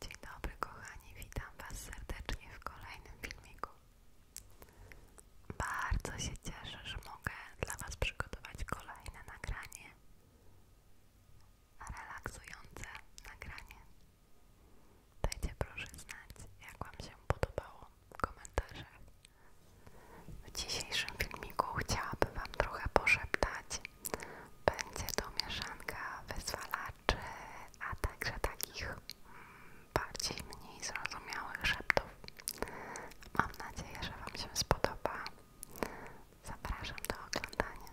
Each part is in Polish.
Dzień dobry kochani, witam Was serdecznie w kolejnym filmiku. Bardzo się cieszę, że mogę dla Was przygotować kolejne nagranie, relaksujące nagranie. Dajcie proszę znać, jak Wam się podobało w komentarzach. W dzisiejszym filmiku chciałabym Wam trochę poszeptać będzie to mieszanka wyzwalaczy, a także takich mm, bardziej mniej zrozumiałych szeptów. Mam nadzieję, że Wam się spodoba. Zapraszam do oglądania.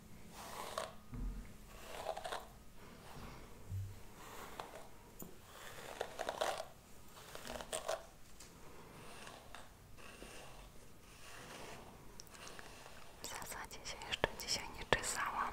W zasadzie się jeszcze dzisiaj nie czesałam.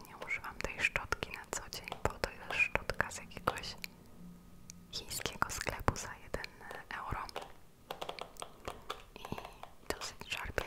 nie używam tej szczotki na co dzień, bo to jest szczotka z jakiegoś chińskiego sklepu za jeden euro i dosyć szarpie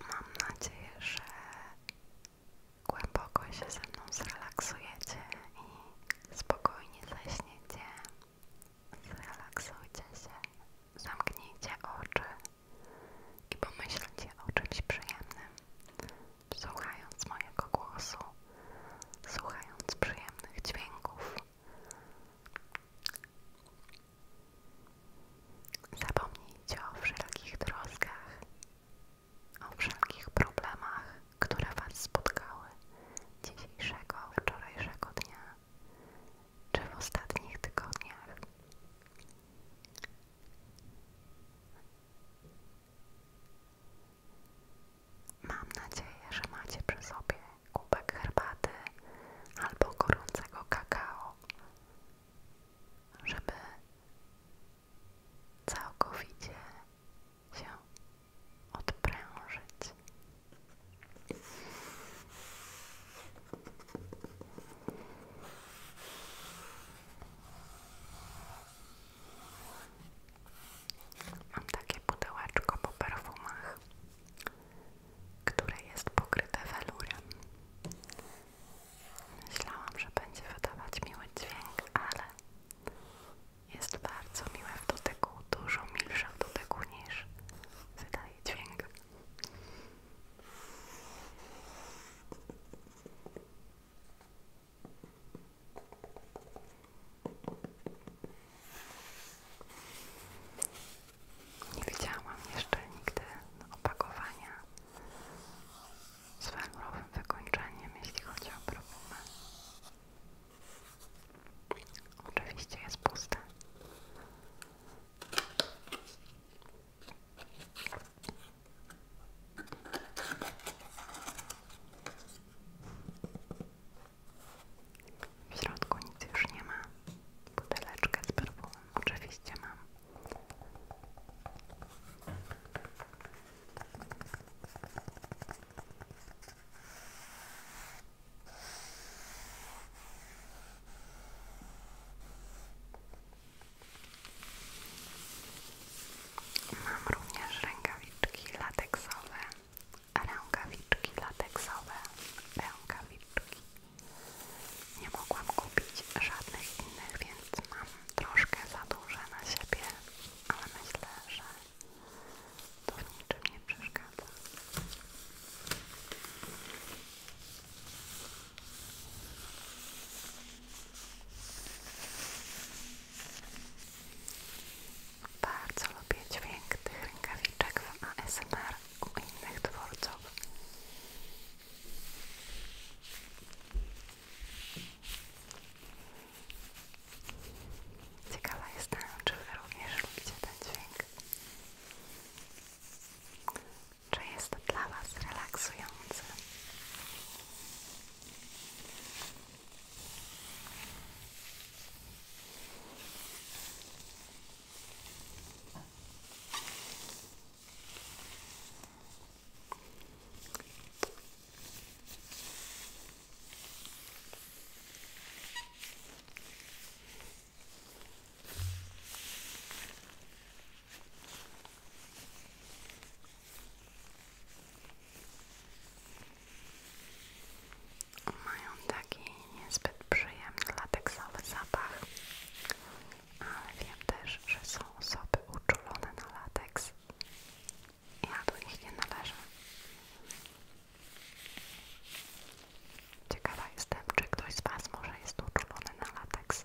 Mam nadzieję, że głęboko się ze mną zrelaksujecie i spokojnie zaśniecie. Zrelaksujcie się, zamknijcie oczy i pomyślcie o czymś przyjemnym, słuchając mojego głosu, słuchając przyjemnych dźwięków. Zapomnijcie o wszelkich troskach, o wszelkich problemach, które Was spotkały dzisiejszego, wczorajszego dnia czy w ostatnich tygodniach. Mam nadzieję, że macie przy sobie kubek herbaty albo gorącego kakao, żeby całkowicie się odprężyć. Mam takie pudełeczko po perfumach, które jest pokryte welurem. Myślałam, że będzie wydawać miły dźwięk, ale jest bardzo miłe w dotyku, dużo milsze w dotyku niż wydaje dźwięk. Nie widziałam jeszcze nigdy opakowania z welurowym wykończeniem, jeśli chodzi o profumy. Oczywiście jest puste. W środku nic już nie ma. Buteleczkę z perfumem oczywiście mam. Mam również rękawiczki lateksowe, rękawiczki lateksowe, rękawiczki. Nie mogłam kupić żadnych innych, więc mam troszkę za duże na siebie, ale myślę, że to w niczym nie przeszkadza. Bardzo lubię dźwięk tych rękawiczek w ASMR u innych twórców. Ciekawa jestem, czy Wy również lubicie ten to jest dla Was relaksujący. Mają taki niezbyt przyjemny lateksowy zapach, ale wiem też, że są osoby uczulone na lateks. Ja do nich nie należę. Ciekawa jestem, czy ktoś z Was może jest uczulony na lateks.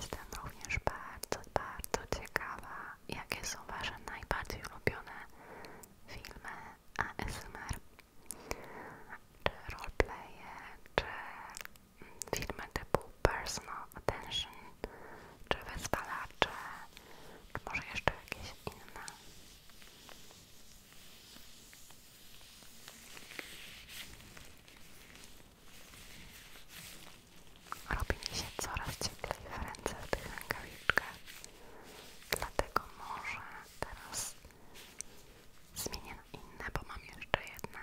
Jestem również bardzo, bardzo ciekawa, jakie są Wasze najbardziej ulubione filmy ASMR czy roleplaye, czy filmy typu Personal Attention, czy Wyzwalacze, czy może jeszcze jakieś inne. Robi mi się coraz cieplej w ręce w tych rękawiczkach, dlatego może teraz Zmienię inne, bo mam jeszcze jedne.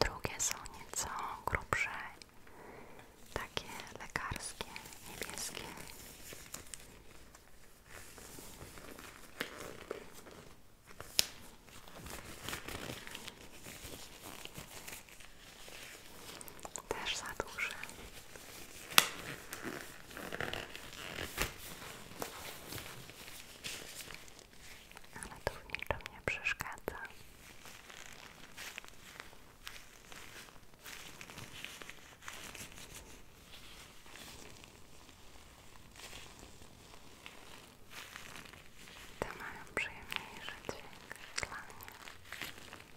Drugie są nieco grubsze, takie lekarskie, niebieskie. Też za dużo. Ale to w niczym nie przeszkadza te mają przyjemniejszy dźwięk dla mnie. Dobra,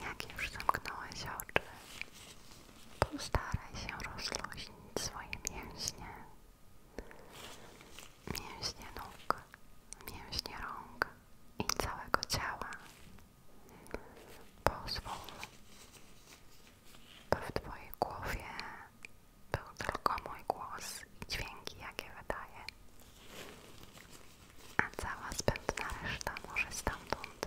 Jak już zamknąłeś oczy, postaraj się rozluźnić swoje mięśnie. Mięśnie nóg, mięśnie rąk i całego ciała. Pozwól, by w Twojej głowie był tylko mój głos i dźwięki, jakie wydaję A cała zbędna reszta może stamtąd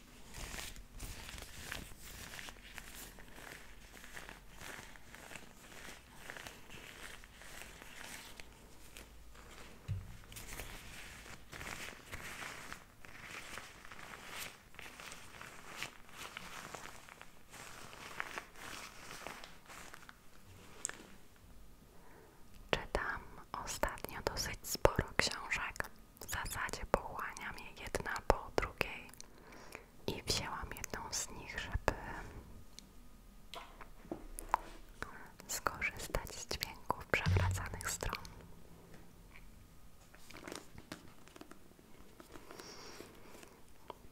Czytam ostatnio dosyć sporo książek w zasadzie pochłaniam je jedna po drugiej i wzięłam jedną z nich, żeby skorzystać z dźwięków przewracanych stron.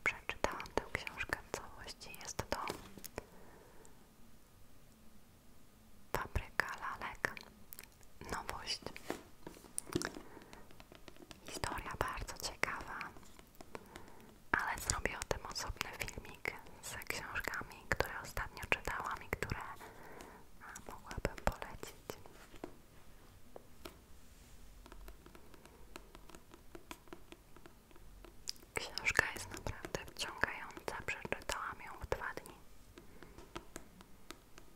Przeczytałam tę książkę w całości. Jest to Fabryka Lalek nowość. Historia bardzo ciekawa, ale zrobię o tym osobny filmik z książkami, które ostatnio czytałam i które mogłabym polecić. Książka jest naprawdę wciągająca, przeczytałam ją w dwa dni.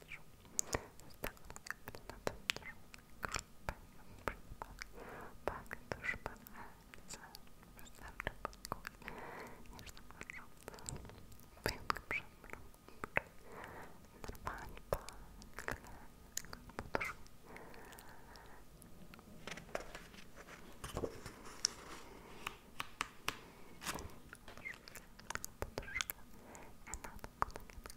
patrzył. Stanął na patrzył. Pak tuż pan Elce. Wystarczy pokój. Nie zobaczył. Pięk przed mną. Normalnie pan. Poduszki. Poduszka. Poduszka. I na to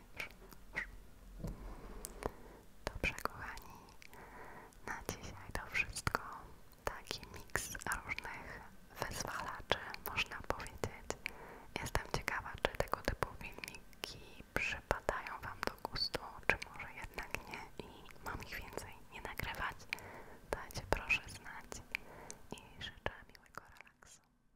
Dobrze kochani, na dzisiaj to wszystko. Taki miks różnych wyzwalaczy, można powiedzieć. Jestem ciekawa, czy tego typu filmiki przypadają Wam do gustu, czy może jednak nie i mam ich więcej nie nagrywać. Dajcie proszę znać i życzę miłego relaksu.